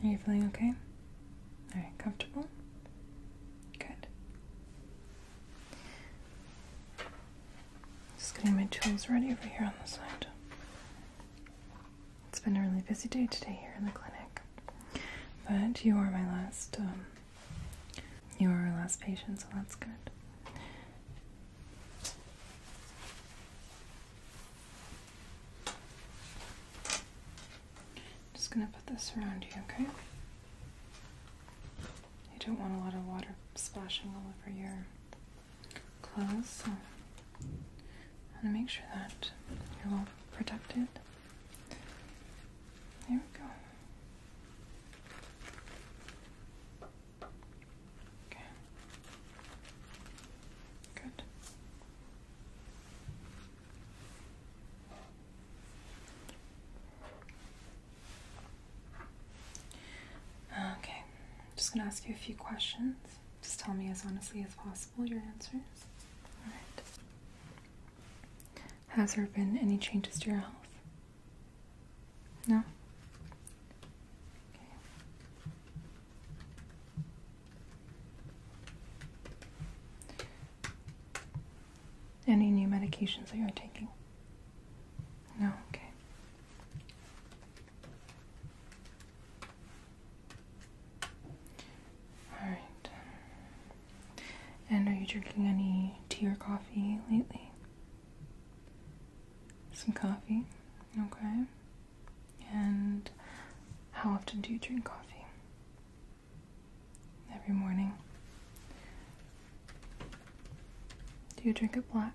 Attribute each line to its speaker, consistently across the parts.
Speaker 1: Are you feeling okay? All right, comfortable? Good. Just getting my tools ready over here on the side. It's been a really busy day today here in the clinic, but you are my last, um, you are our last patient, so that's good. Just gonna put this around you, okay? You don't want a lot of water splashing all over your Close. So I want to make sure that you're well protected. There we go. Okay. Good. Okay, I'm just gonna ask you a few questions. Just tell me as honestly as possible your answers. Alright. Has there been any changes to your health? No? Any new medications that you're taking? No, okay. All right. And are you drinking any tea or coffee lately? Some coffee? Okay. And how often do you drink coffee? Every morning. Do you drink it black?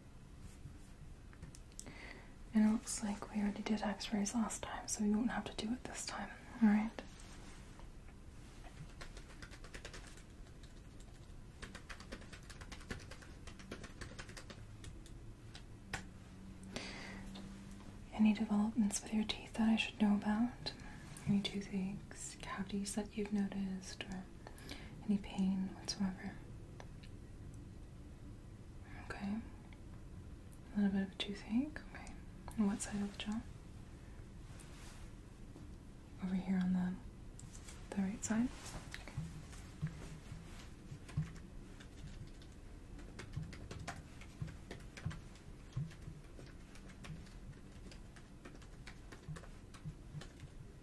Speaker 1: And it looks like we already did x rays last time, so we won't have to do it this time, alright? Any developments with your teeth that I should know about? Any toothaches, cavities that you've noticed, any pain whatsoever. Okay. A little bit of a toothache. Okay. On what side of the jaw? Over here on the the right side. Okay.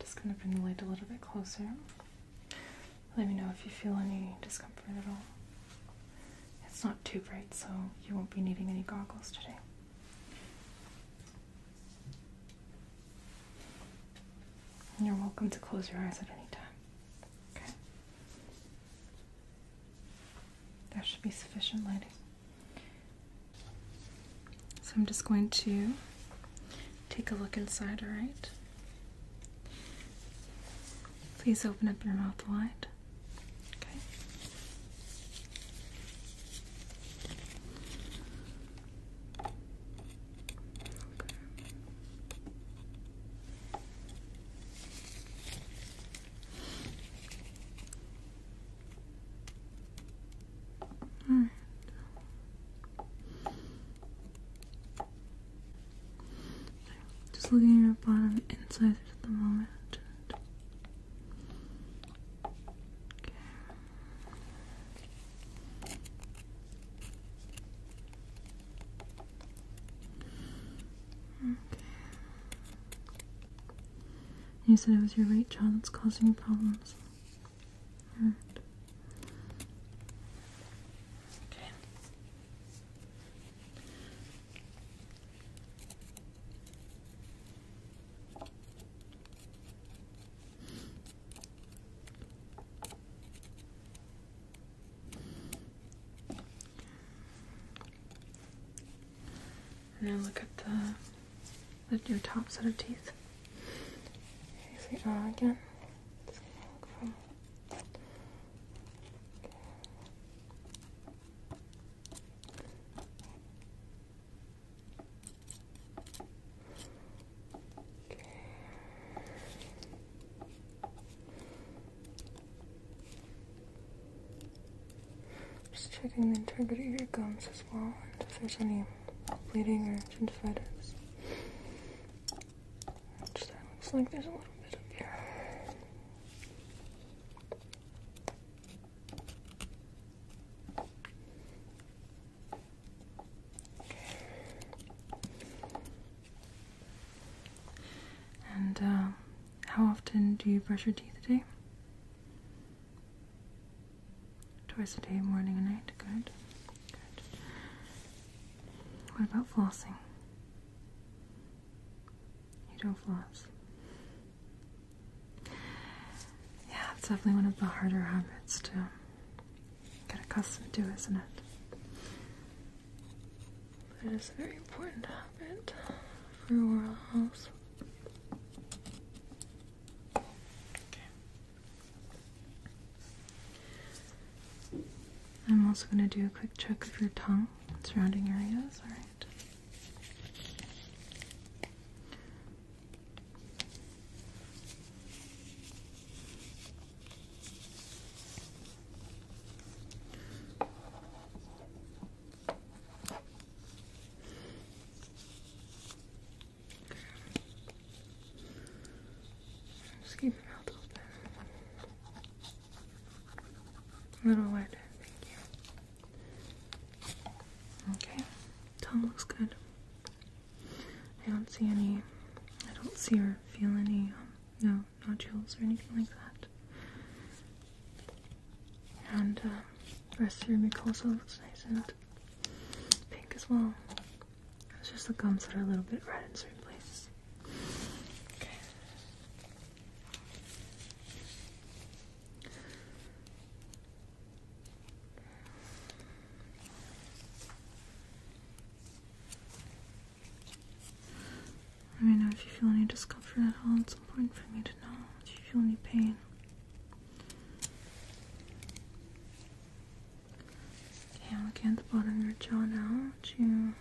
Speaker 1: just going to bring the light a little bit closer. Let me know if you feel any discomfort at all. It's not too bright, so you won't be needing any goggles today you're welcome to close your eyes at any time. Okay? There should be sufficient lighting. So I'm just going to take a look inside, alright? Please open up your mouth wide. Okay. Just looking at your bottom incisors at the moment. You said it was your right jaw that's causing you problems. And then look at the, your top set of teeth. You see R again. Just checking the integrity of your gums as well, and if there's any bleeding or gingivitis. looks like there's a little bit of here. And uh, how often do you brush your teeth a day? Twice a day, morning and night. Good. Good. What about flossing? You don't floss. Yeah, it's definitely one of the harder habits too get accustomed to, isn't it? it is very important habit for oral health. Okay. I'm also going to do a quick check of your tongue, surrounding areas, alright? Just keep your mouth open. A little wet, thank you. Okay, tongue looks good. I don't see any, I don't see or feel any, um, no, nodules or anything like that. And uh, rest of your mucosa also looks nice and pink as well. It's just the gums that are a little bit red in certain places. Okay. Let me know if you feel any discomfort at all. It's important for me to know Do you feel any pain. Okay, i at the bottom of your jaw now. Do you...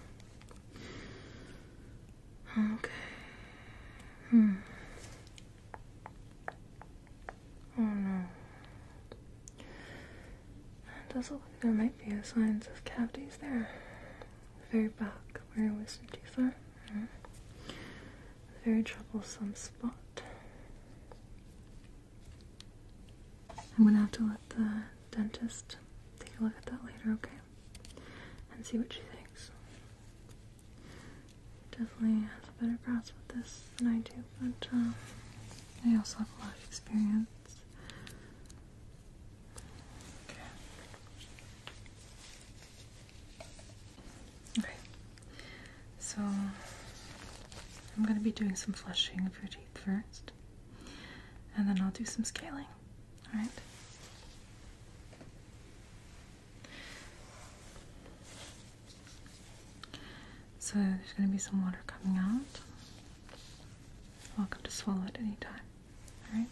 Speaker 1: Okay. Hmm. Oh no. It does look like there might be signs of cavities there. very back where your wisdom teeth are. Mm. Very troublesome spot. I'm gonna have to let the dentist take a look at that later, okay? And see what she thinks. Definitely has a better grasp with this than I do, but uh, I also have a lot of experience. Okay. So I'm going to be doing some flushing of your teeth first, and then I'll do some scaling. All right. So there's going to be some water coming out. Welcome to swallow at any time. All right.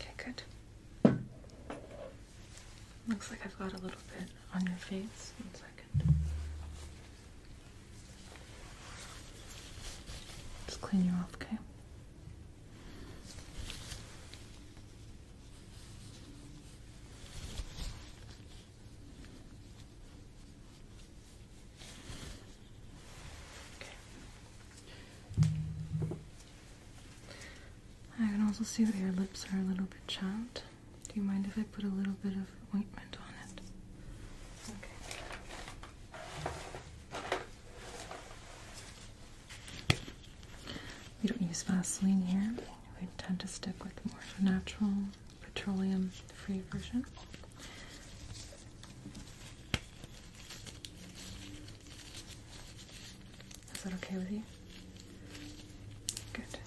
Speaker 1: Okay, good. Looks like I've got a little bit on your face. One second. Just clean you off, okay? Okay. I can also see that your lips are a little bit chapped. Do you mind if I put a little bit of ointment on it? We don't use Vaseline here. We tend to stick with more of a natural petroleum-free version. Is that okay with you? Good.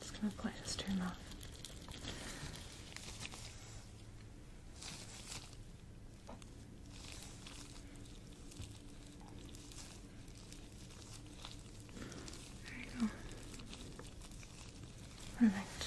Speaker 1: Just gonna apply this to your mouth. There you go. Perfect.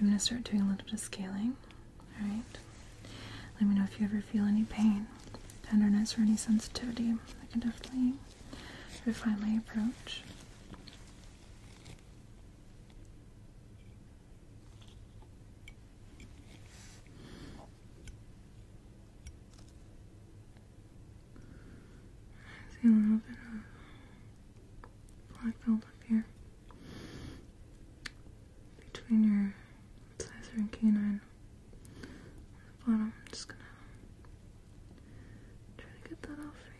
Speaker 1: I'm going to start doing a little bit of scaling. Alright? Let me know if you ever feel any pain, tenderness, or any sensitivity. I can definitely refine my approach. see a little bit of black buildup here between your incisor and canine bottom. just gonna try to get that off for you.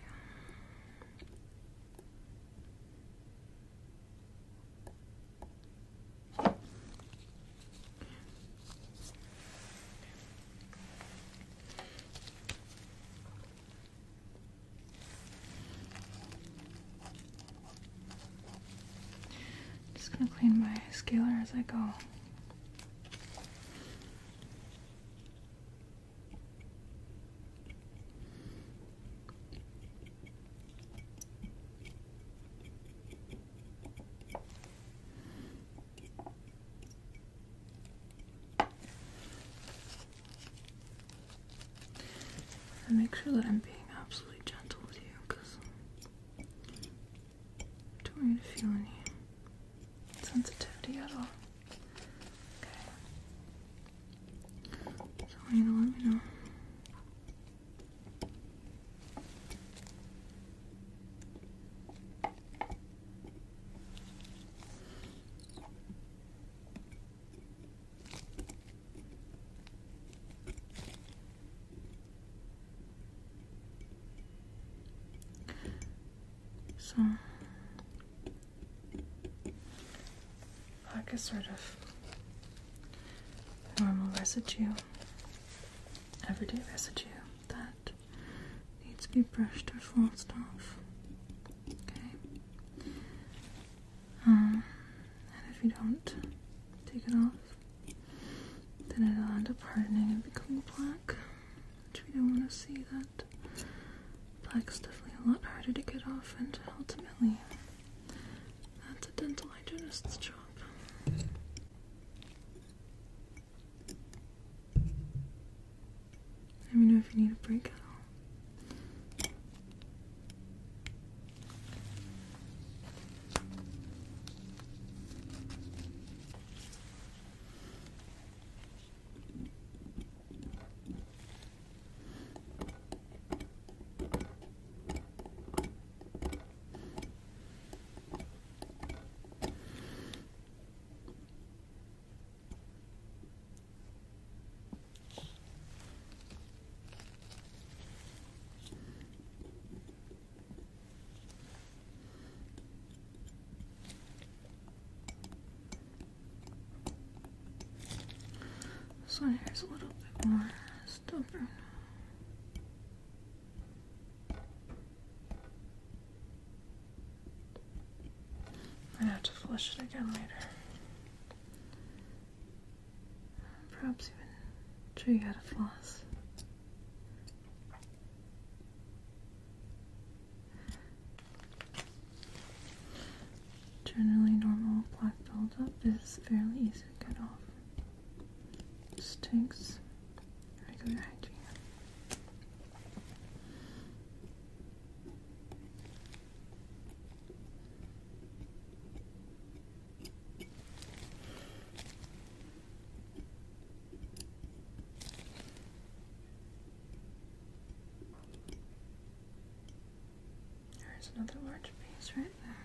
Speaker 1: I'm just going to clean my scaler as I go. And make sure that I'm being absolutely gentle with you because I don't want you to feel any sensitivity at all. Okay. So you to let me know. So like a sort of normal residue, everyday residue that needs to be brushed or flossed off. Um, and if you don't take it off, then it'll end up hardening and becoming black, which we don't want to see that. Black's definitely a lot harder to get off, and ultimately, that's a dental hygienist's job. Let me know if you need a break at all. This one here is a little bit more stubborn. Might have to flush it again later. Perhaps even show you how to floss. Generally, normal black buildup is fairly easy to get off. Just takes regular hygiene. There's another large piece right there.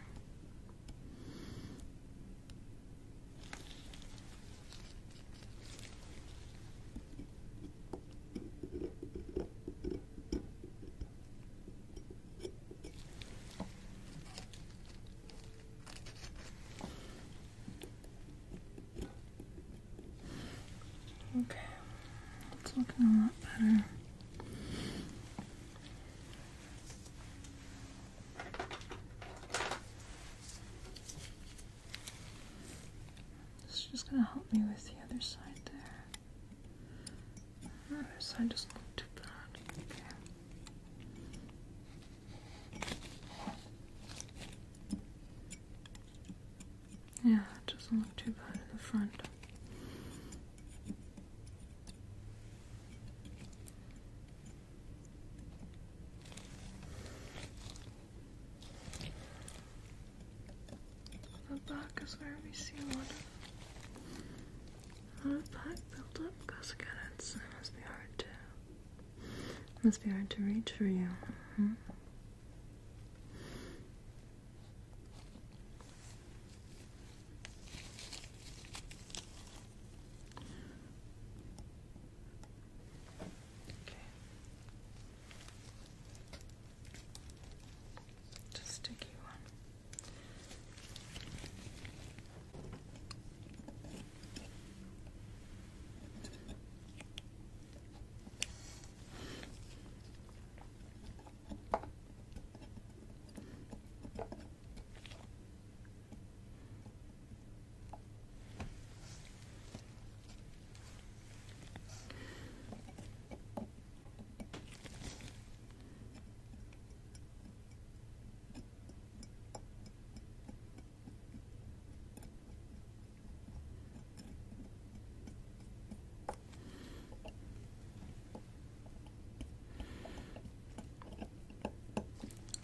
Speaker 1: Okay, it's looking a lot better. It's just gonna help me with the other side there. The other side doesn't look too bad. Yeah, it doesn't look too bad in the front. The back is where we see a lot of, a lot of back build up because again it's, must be hard to must be hard to reach for you. Mm-hmm. Okay. Just sticky one.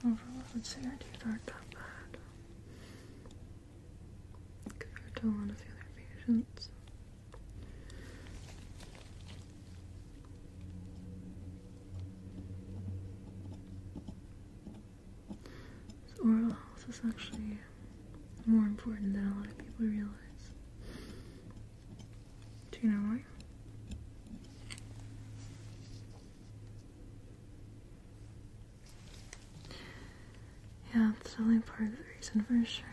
Speaker 1: Overall, I would say our teeth aren't that bad compared to a lot of the other patients. oral health is actually more important than a lot of people realize. Do you know why? Yeah, it's only part of the reason for sure.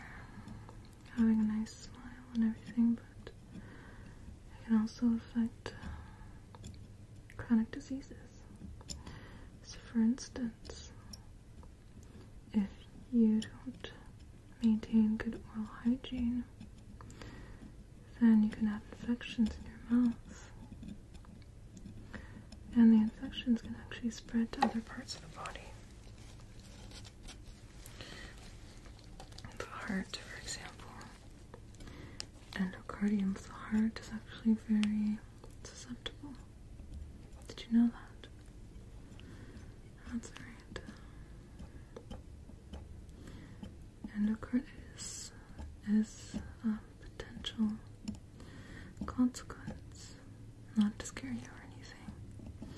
Speaker 1: Having a nice smile and everything, but it can also affect uh, chronic diseases. So, for instance, if you don't maintain good oral hygiene, then you can have infections in your mouth and the infections can actually spread to other parts of the body. The heart, for example, endocardium of the heart is actually very susceptible. Did you know that? That's right. Endocarditis is a potential consequence. Not to scare you or anything,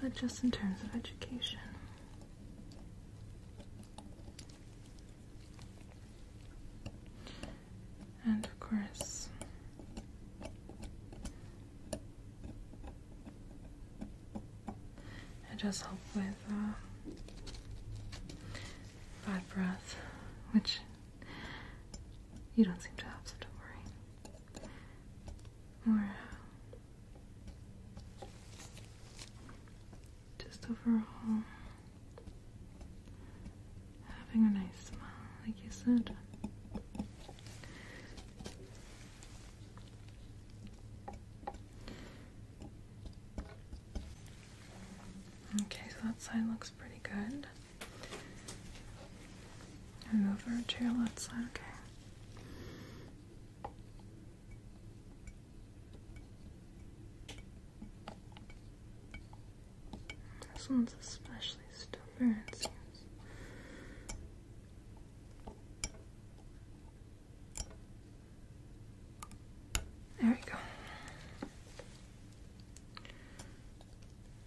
Speaker 1: but just in terms of education. And of course, it just help with uh, bad breath, which you don't seem to have, so don't worry. More uh, just overall having a nice smile, like you said. Okay, so that side looks pretty good. And over to your left side, okay. This one's especially stubborn, seems. There we go.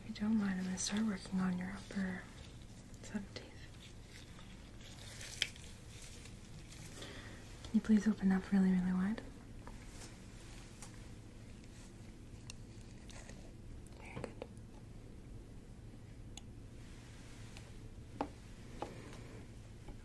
Speaker 1: If you don't mind, I'm going to start working on your upper set teeth. Can you please open up really, really wide? Very good.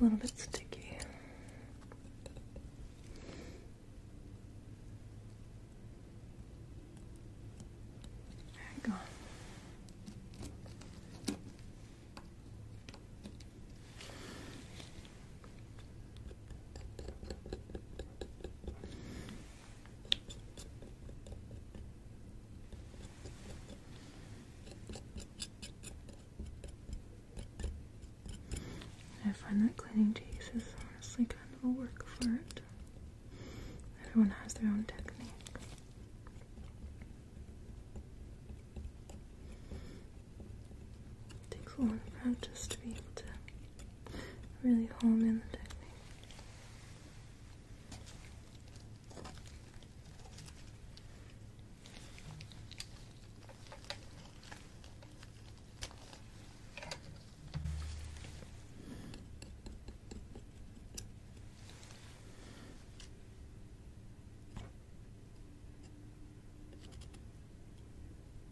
Speaker 1: A little bit sticky. There we go. I find that cleaning teeth is honestly kind of a work for it. Everyone has their own technique. It takes a lot of practice to be able to really hone in the technique.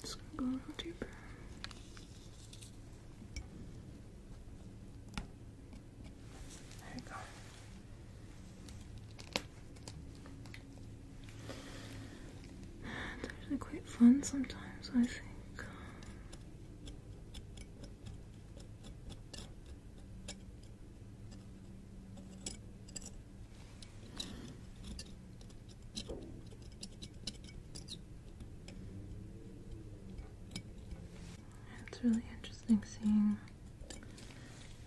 Speaker 1: Just gonna go a little deeper. There you go. It's actually quite fun sometimes, I think. It's really interesting seeing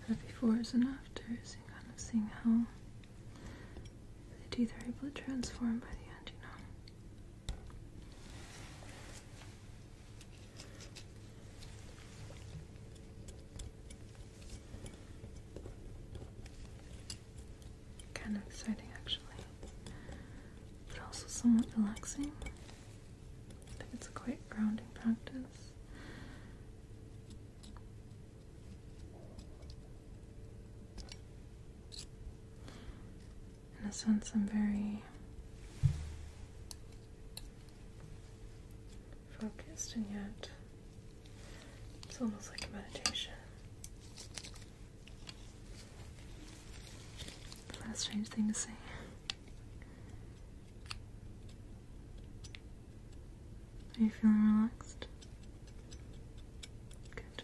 Speaker 1: the befores and afters and kind of seeing how the teeth are able to transform by the end, you know. Kind of exciting, actually, but also somewhat relaxing. I think it's quite grounding practice in a sense, I'm very focused, and yet it's almost like a meditation. What a strange thing to say. Are you feeling relaxed? Good.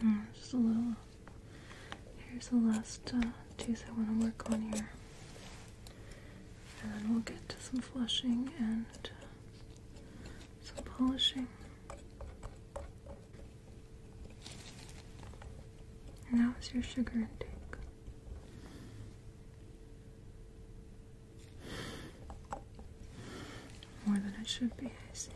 Speaker 1: Hmm, just a little. Here's the last uh, tooth I want to work on here. And then we'll get to some flushing and some polishing. And that was your sugar intake. More than it should be, I see.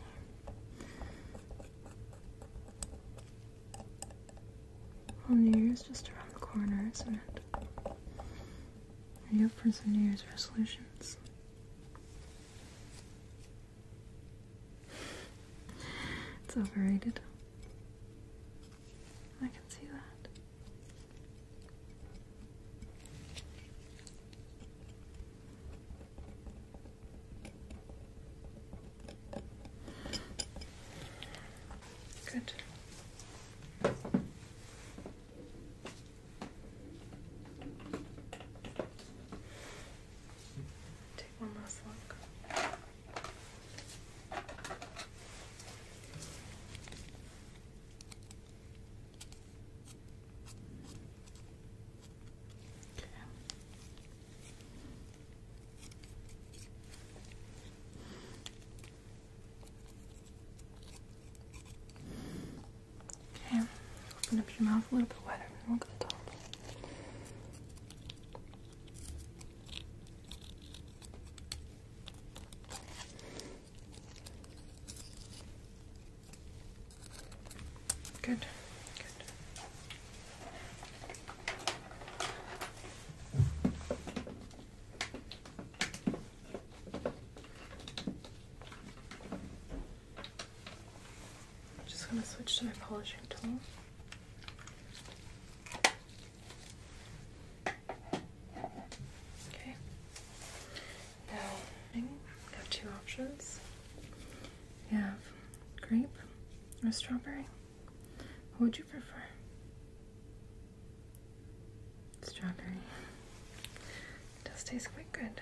Speaker 1: Well, New Year's just around the corner, isn't it? Are you up for some New Year's resolutions? It's overrated. I can see that. Good. Take one last look. Okay. Okay, open up your mouth a little bit wider and look at the top. Good. I'm just going to switch to my polishing tool. Okay. Now I have two options. You have grape or strawberry. What would you prefer? Strawberry. does taste quite good.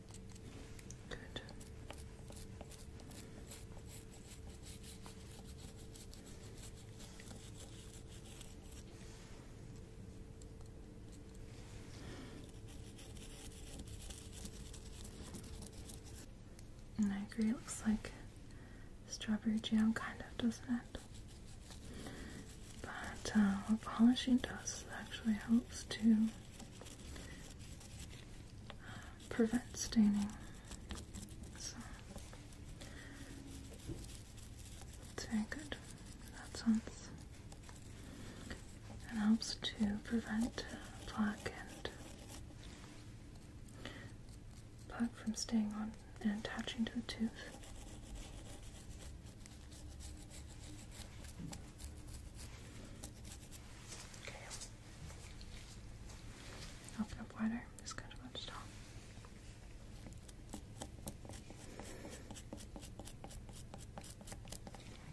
Speaker 1: Good. And I agree, it looks like strawberry jam, kind of, doesn't it? But uh, polishing dust actually helps too prevent staining. So it's very good that sense. It helps to prevent plaque and plaque from staying on and attaching to the tooth. Open up wider. Just kind of stop.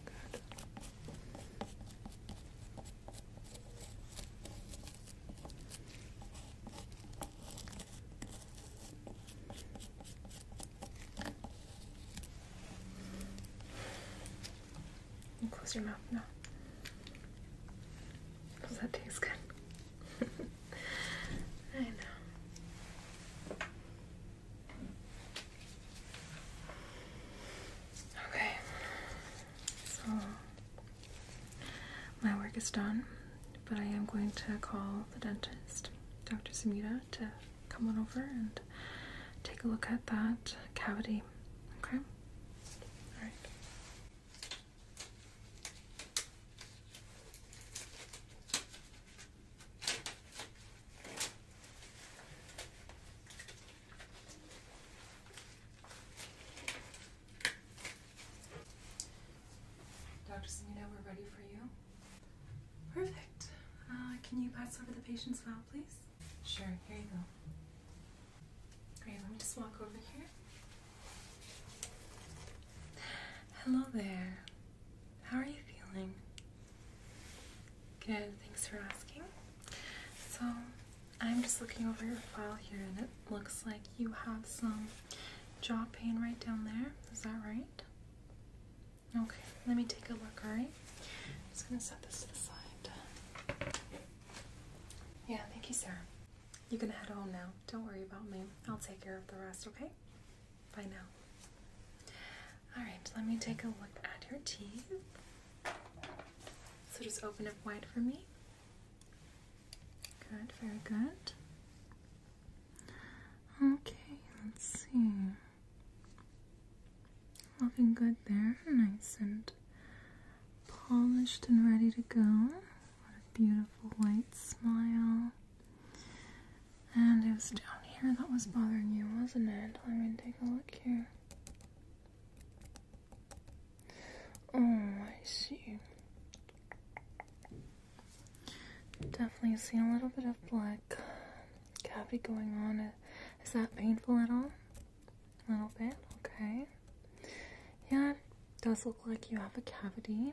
Speaker 1: Good close your mouth now. Does that taste good? I know. Okay, so my work is done, but I am going to call the dentist, Dr. Samita, to come on over and take a look at that cavity. Okay? Alright. Dr. Sunita, we're ready for you. Perfect. Uh, can you pass over the patient's file, please? Sure, here you go. Great, let me just walk over here. Hello there. How are you feeling? Good, thanks for asking. So, I'm just looking over your file here and it looks like you have some jaw pain right down there. Is that right? Okay, let me take a look, Right. I'm just gonna set this to the side. Yeah, thank you, Sarah. You can head home now. Don't worry about me. I'll take care of the rest, okay? Bye now. Alright, let me take a look at your teeth. So just open up wide for me. Good, very good. Okay, let's see. Looking good there, nice and polished and ready to go. What a beautiful white smile. And it was down here that was bothering you, wasn't it? Let me take a look here. Oh, I see. Definitely see a little bit of black cavity going on. Is that painful at all? A little bit, okay. Yeah, does look like you have a cavity.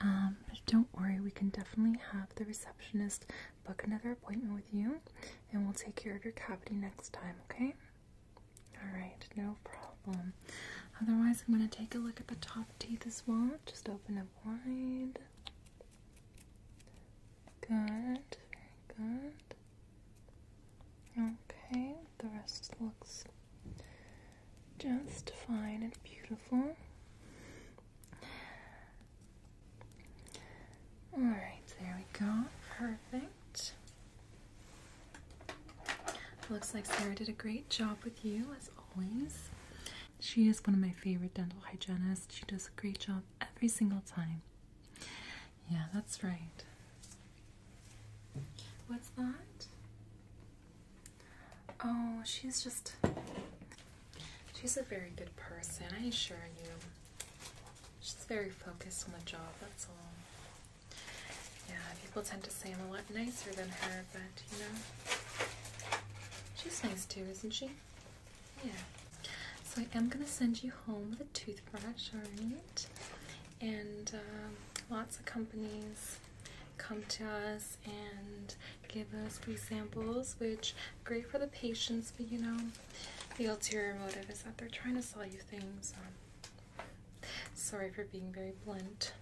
Speaker 1: Um, don't worry, we can definitely have the receptionist book another appointment with you and we'll take care of your cavity next time, okay? Alright, no problem. Otherwise, I'm going to take a look at the top teeth as well. Just open up wide. Good, good. Okay, the rest looks just fine and beautiful. Alright, there we go. Perfect. Looks like Sarah did a great job with you, as always. She is one of my favorite dental hygienists. She does a great job every single time. Yeah, that's right. What's that? Oh, she's just. She's a very good person, I assure you. She's very focused on the job, that's all. Yeah, people tend to say I'm a lot nicer than her, but you know. She's nice too, isn't she? Yeah. So I am gonna send you home with a toothbrush, alright? And um, lots of companies come to us and give us free samples, which great for the patients, but you know, the ulterior motive is that they're trying to sell you things. Um, sorry for being very blunt.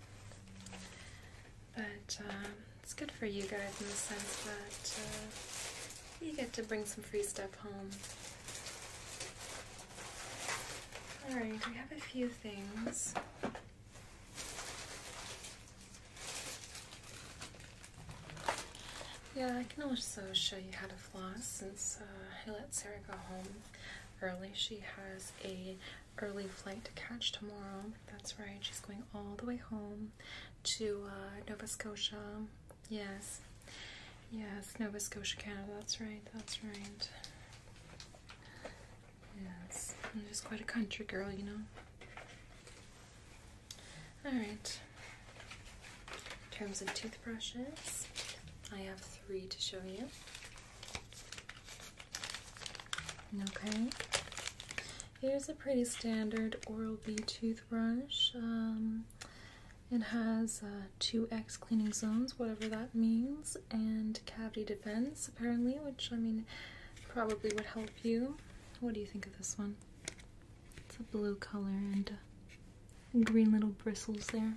Speaker 1: But um, it's good for you guys in the sense that uh, you get to bring some free stuff home. Alright, we have a few things. Yeah, I can also show you how to floss since uh, I let Sarah go home early. She has a early flight to catch tomorrow. That's right, she's going all the way home to uh, Nova Scotia. Yes, yes, Nova Scotia, Canada. That's right, that's right. Yes, I'm just quite a country girl, you know. Alright, in terms of toothbrushes, I have three to show you. Okay, here's a pretty standard Oral B toothbrush. Um, it has uh, two X cleaning zones, whatever that means, and cavity defense, apparently, which I mean probably would help you. What do you think of this one? It's a blue color and green little bristles there.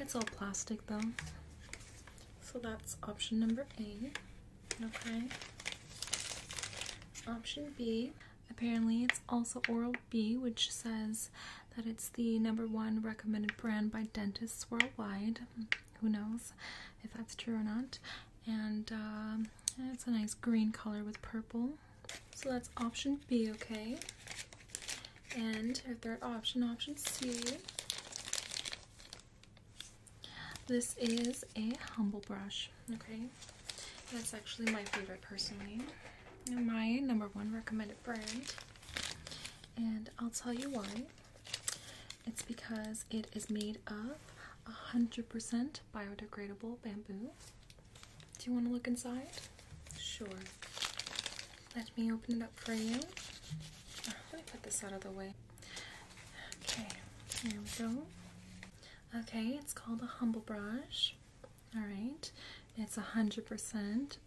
Speaker 1: It's all plastic though. So that's option number A. Okay. Option B. Apparently, it's also Oral B, which says that it's the number one recommended brand by dentists worldwide. Who knows if that's true or not? And uh, it's a nice green color with purple. So that's option B, okay? And our third option, option C. This is a humble brush. Okay, that's actually my favorite personally. My number one recommended brand, and I'll tell you why. It's because it is made of 100% biodegradable bamboo. Do you want to look inside? Sure. Let me open it up for you. Uh, let me put this out of the way. Okay, there we go. Okay, it's called a humble brush. All right, it's 100%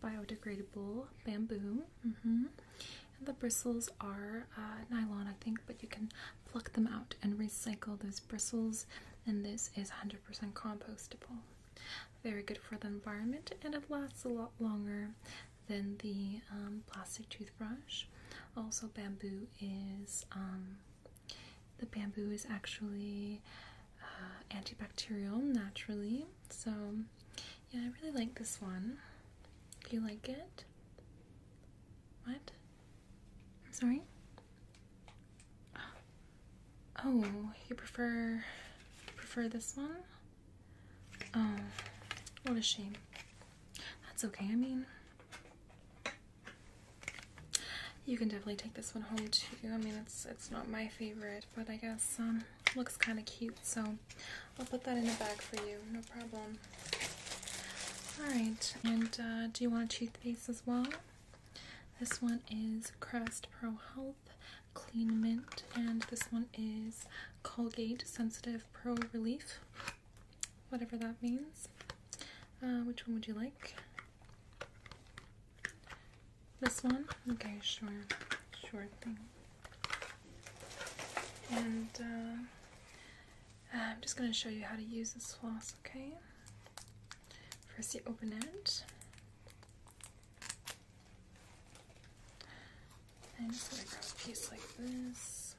Speaker 1: biodegradable bamboo. Mm-hmm. And the bristles are uh, nylon, I think, but you can pluck them out and recycle those bristles. And this is 100% compostable. Very good for the environment, and it lasts a lot longer than the um, plastic toothbrush. Also, bamboo is um, the bamboo is actually uh, antibacterial naturally, so yeah, I really like this one. Do you like it? What? I'm sorry? Oh, you prefer prefer this one? Oh, what a shame. That's okay. I mean, you can definitely take this one home too. I mean, it's it's not my favorite, but I guess um looks kind of cute. So I'll put that in the bag for you. No problem. All right. And uh, do you want a toothpaste as well? This one is Crest Pro Health Clean Mint, and this one is Colgate Sensitive Pro Relief, whatever that means. Uh, which one would you like? This one? Okay, sure. Sure And uh, I'm just going to show you how to use this floss, okay? First, you open it. I'm just going to grab a piece like this.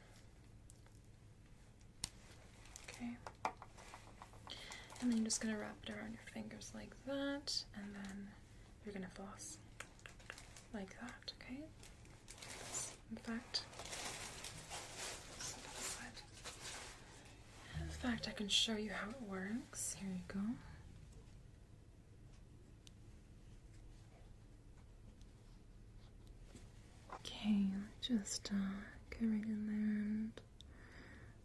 Speaker 1: Okay. And then you're just going to wrap it around your fingers like that, and then you're going to floss like that, okay? In fact, in fact, I can show you how it works. Here you go. Okay, just uh, get right in there and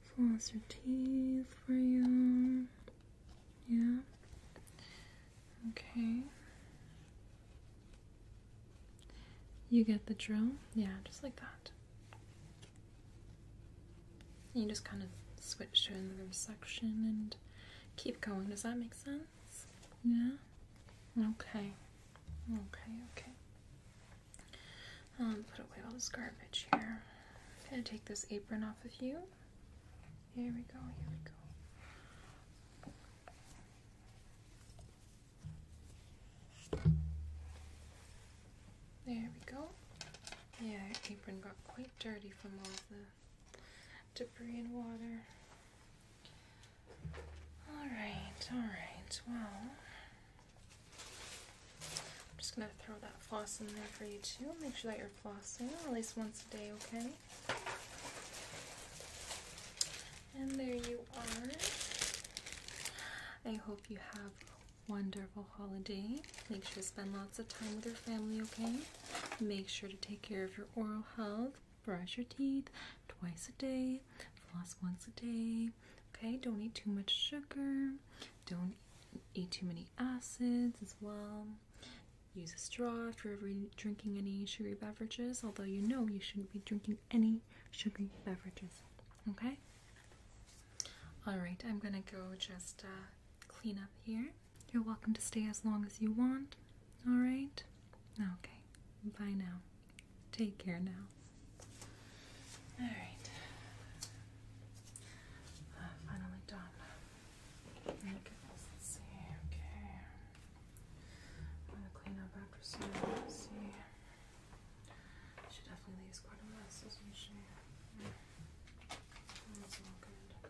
Speaker 1: floss your teeth for you. Yeah. Okay. You get the drill? Yeah, just like that. You just kind of switch to another section and keep going. Does that make sense? Yeah? Okay. Okay, okay. Um, put away all this garbage here. I'm gonna take this apron off of you. Here we go, here we go. There we go. Yeah, apron got quite dirty from all the debris and water. Alright, alright, well, I'm just going to throw that floss in there for you too. Make sure that you're flossing at least once a day, okay? And there you are. I hope you have a wonderful holiday. Make sure to spend lots of time with your family, okay? Make sure to take care of your oral health. Brush your teeth twice a day, floss once a day, Okay, don't eat too much sugar. Don't eat too many acids as well. Use a straw if you're drinking any sugary beverages, although you know you shouldn't be drinking any sugary beverages. Okay? Alright, I'm gonna go just uh, clean up here. You're welcome to stay as long as you want. Alright? Okay. Bye now. Take care now. All right. Uh, finally done. let's see. Okay. I'm gonna clean up after some. Let's definitely leaves quite a mess, doesn't she? That's all good.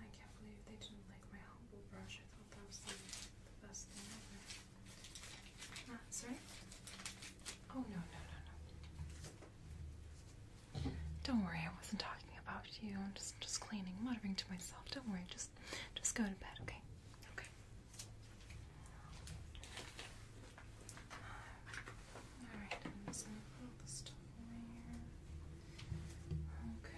Speaker 1: I can't believe they didn't like my humble brush. I thought that was the best thing ever. That's right. Oh, no, no, no, no. Don't worry, I wasn't talking about you. I'm just, just cleaning, muttering to myself. Don't worry, just, just go to bed, okay? Okay. Alright, Okay.